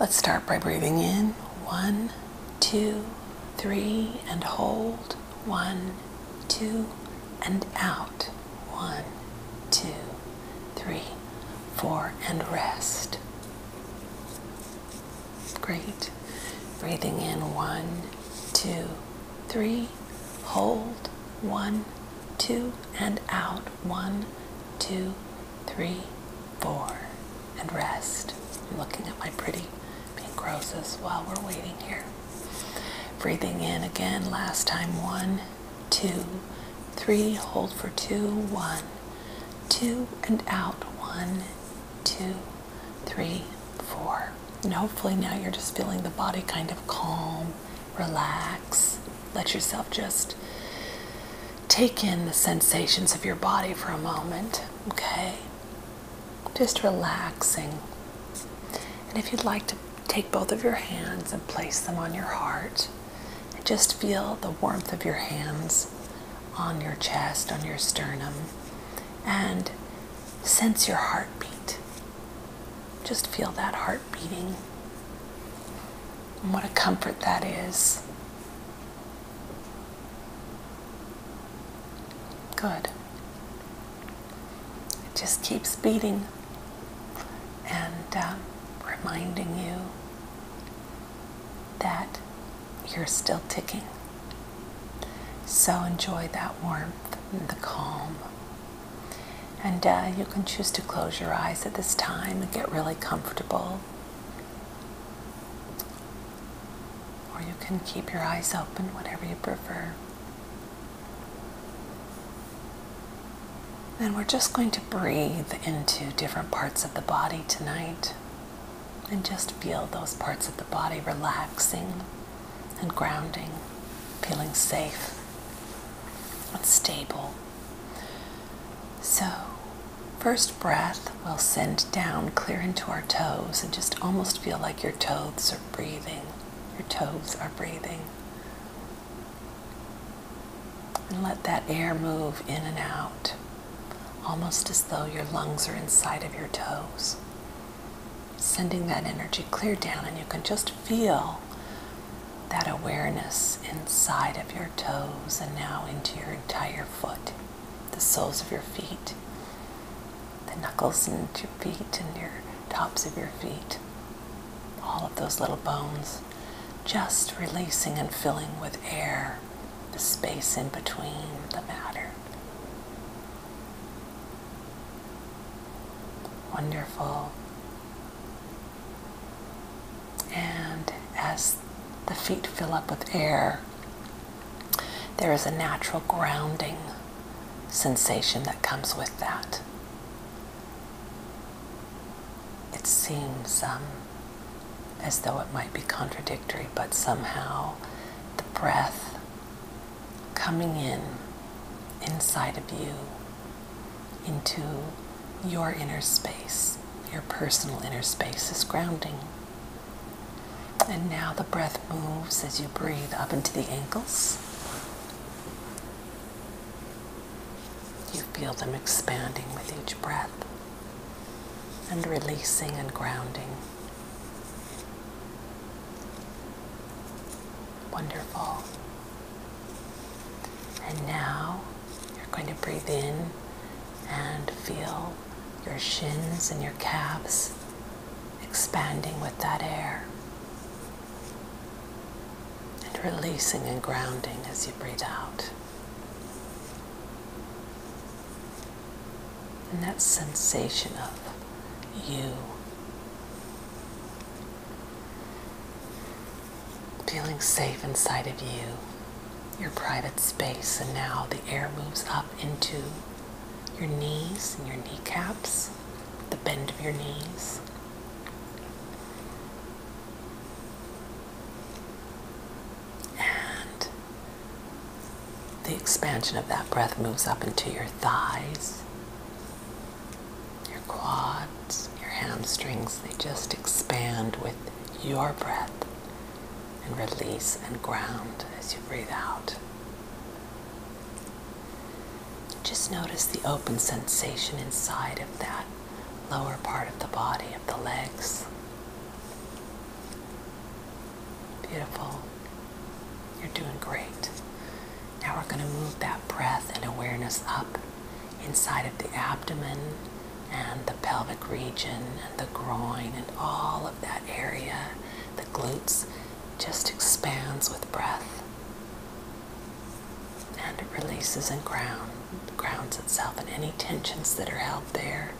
Let's start by breathing in. One, two, three, and hold. One, two, and out. One, two, three, four, and rest. Great. Breathing in. One, two, three, hold, one, two, and out, one, two, three, four, and rest. looking at my pretty pink roses while we're waiting here. Breathing in again, last time, one, two, three, hold for two, one, two, and out, one, two, three, four. And hopefully now you're just feeling the body kind of calm, relax. Let yourself just take in the sensations of your body for a moment, okay? Just relaxing. And if you'd like to take both of your hands and place them on your heart, and just feel the warmth of your hands on your chest, on your sternum, and Sense your heartbeat. Just feel that heart beating. And what a comfort that is. Good. It just keeps beating and um, reminding you that you're still ticking. So enjoy that warmth and the calm. And uh, you can choose to close your eyes at this time and get really comfortable. Or you can keep your eyes open, whatever you prefer. Then we're just going to breathe into different parts of the body tonight and just feel those parts of the body relaxing and grounding, feeling safe and stable. So, first breath, we'll send down clear into our toes and just almost feel like your toes are breathing. Your toes are breathing. And let that air move in and out, almost as though your lungs are inside of your toes sending that energy clear down, and you can just feel that awareness inside of your toes and now into your entire foot, the soles of your feet, the knuckles and your feet, and your tops of your feet, all of those little bones, just releasing and filling with air the space in between the matter. Wonderful. And as the feet fill up with air, there is a natural grounding sensation that comes with that. It seems um, as though it might be contradictory, but somehow the breath coming in inside of you into your inner space, your personal inner space is grounding. And now the breath moves as you breathe up into the ankles. You feel them expanding with each breath and releasing and grounding. Wonderful. And now you're going to breathe in and feel your shins and your calves expanding with that air and releasing and grounding as you breathe out and that sensation of you feeling safe inside of you, your private space, and now the air moves up into your knees and your kneecaps, the bend of your knees and the expansion of that breath moves up into your thighs, your quads, your hamstrings. They just expand with your breath and release and ground as you breathe out. Just notice the open sensation inside of that lower part of the body, of the legs. Beautiful. You're doing great. Now we're going to move that breath and awareness up inside of the abdomen and the pelvic region and the groin and all of that area. The glutes just expands with breath and it releases and grounds itself and any tensions that are held there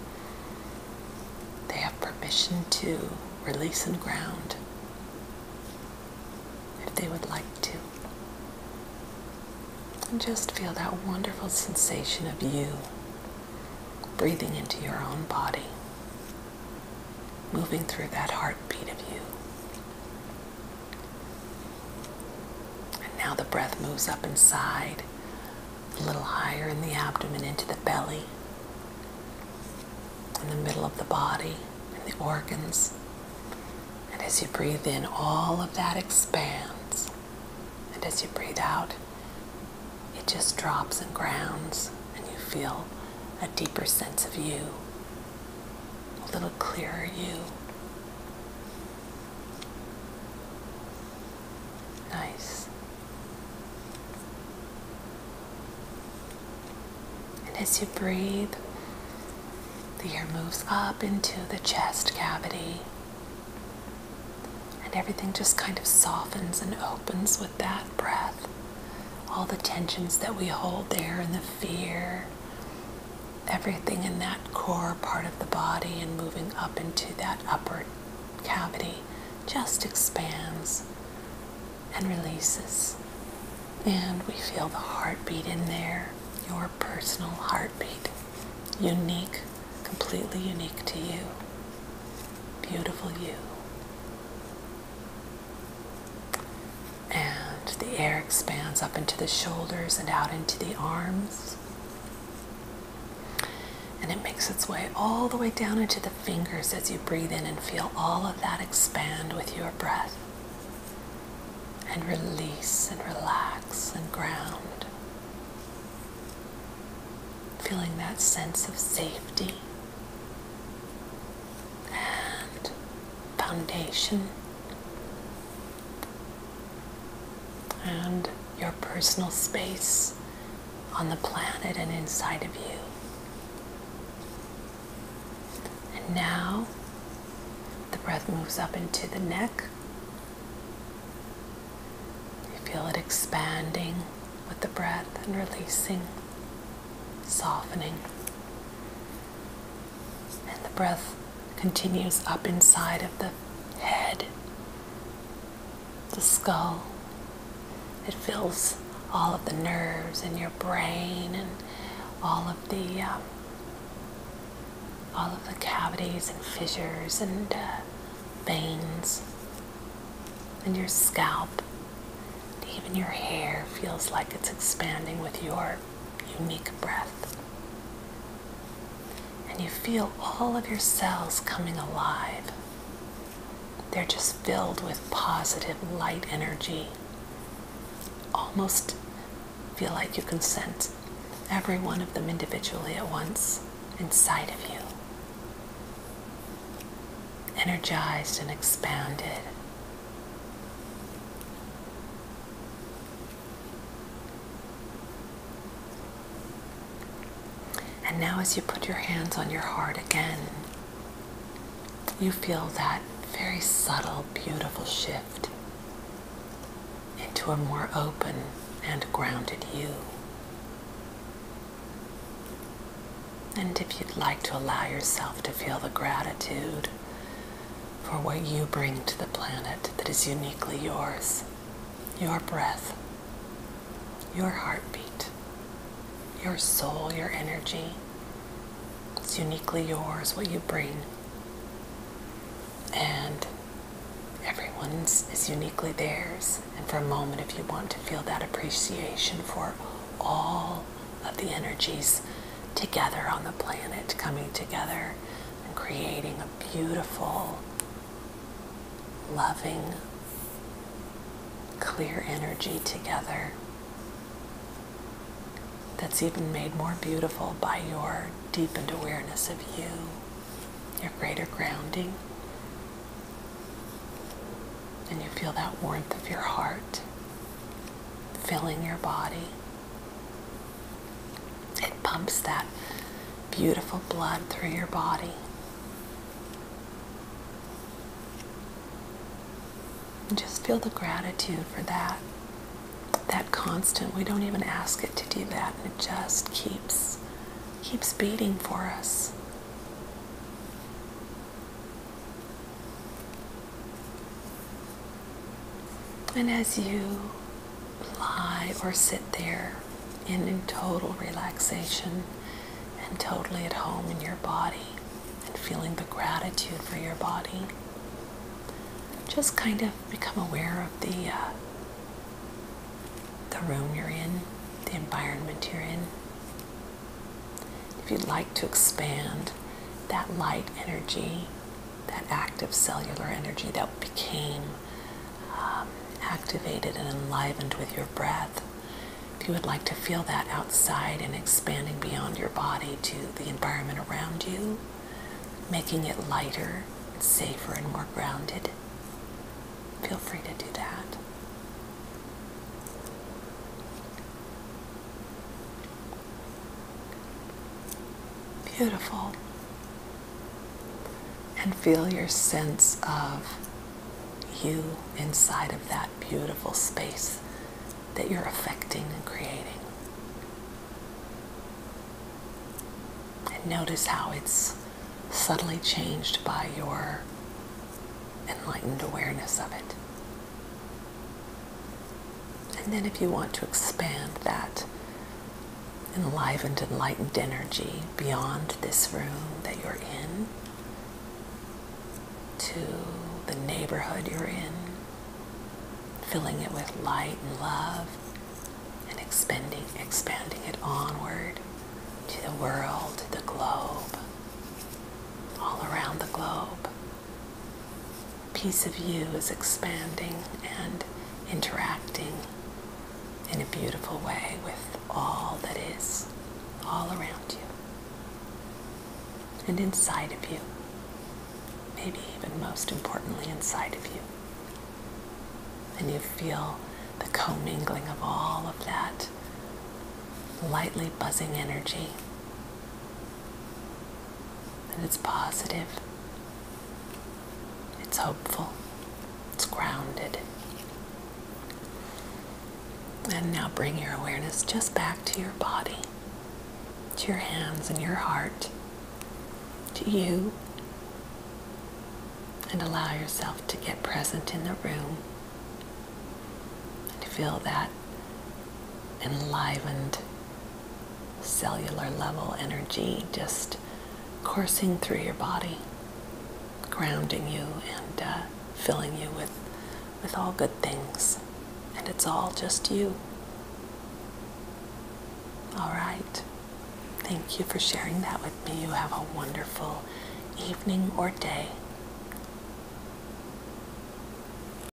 they have permission to release and ground if they would like to. And just feel that wonderful sensation of you breathing into your own body, moving through that heartbeat of you. And now the breath moves up inside a little higher in the abdomen into the belly, in the middle of the body, in the organs. And as you breathe in, all of that expands. And as you breathe out, it just drops and grounds, and you feel a deeper sense of you, a little clearer you. Nice. And as you breathe, the air moves up into the chest cavity. And everything just kind of softens and opens with that breath. All the tensions that we hold there and the fear, everything in that core part of the body and moving up into that upper cavity just expands and releases. And we feel the heartbeat in there, your personal heartbeat, unique, completely unique to you. Beautiful you. And the air expands up into the shoulders and out into the arms. And it makes its way all the way down into the fingers as you breathe in and feel all of that expand with your breath. And release and relax and ground. Feeling that sense of safety and foundation and your personal space on the planet and inside of you. And now the breath moves up into the neck. You feel it expanding with the breath and releasing, softening. And the breath continues up inside of the head, the skull. It fills all of the nerves in your brain and all of the um, all of the cavities and fissures and uh, veins and your scalp. Even your hair feels like it's expanding with your unique breath. And you feel all of your cells coming alive. They're just filled with positive light energy. Almost feel like you can sense every one of them individually at once inside of you. Energized and expanded. And now, as you put your hands on your heart again, you feel that very subtle, beautiful shift into a more open and grounded you. And if you'd like to allow yourself to feel the gratitude for what you bring to the planet that is uniquely yours, your breath, your heartbeat, your soul, your energy. It's uniquely yours, what you bring. And everyone's is uniquely theirs. And for a moment, if you want to feel that appreciation for all of the energies together on the planet coming together and creating beautiful, loving, clear energy together that's even made more beautiful by your deepened awareness of you, your greater grounding. And you feel that warmth of your heart filling your body it pumps that beautiful blood through your body. And just feel the gratitude for that. That constant, we don't even ask it to do that. It just keeps keeps beating for us. And as you lie or sit there in total relaxation and totally at home in your body and feeling the gratitude for your body, just kind of become aware of the uh, the room you're in, the environment you're in. If you'd like to expand that light energy that active cellular energy that became um, activated and enlivened with your breath. If you would like to feel that outside and expanding beyond your body to the environment around you, making it lighter, safer, and more grounded, feel free to do that. Beautiful. And feel your sense of you inside of that beautiful space that you're affecting and creating. And notice how it's subtly changed by your enlightened awareness of it. And then, if you want to expand that enlivened, enlightened energy beyond this room that you're in, to the neighborhood you're in, filling it with light and love, and expanding, expanding it onward to the world, to the globe, all around the globe piece of you is expanding and interacting in a beautiful way with all that is all around you and inside of you. Maybe even most importantly, inside of you. And you feel the commingling of all of that lightly buzzing energy and it's positive, it's hopeful, it's grounded. And now bring your awareness just back to your body, to your hands and your heart, to you, and allow yourself to get present in the room and feel that enlivened cellular level energy just coursing through your body, grounding you and uh, filling you with, with all good things. And it's all just you. All right. Thank you for sharing that with me. You have a wonderful evening or day.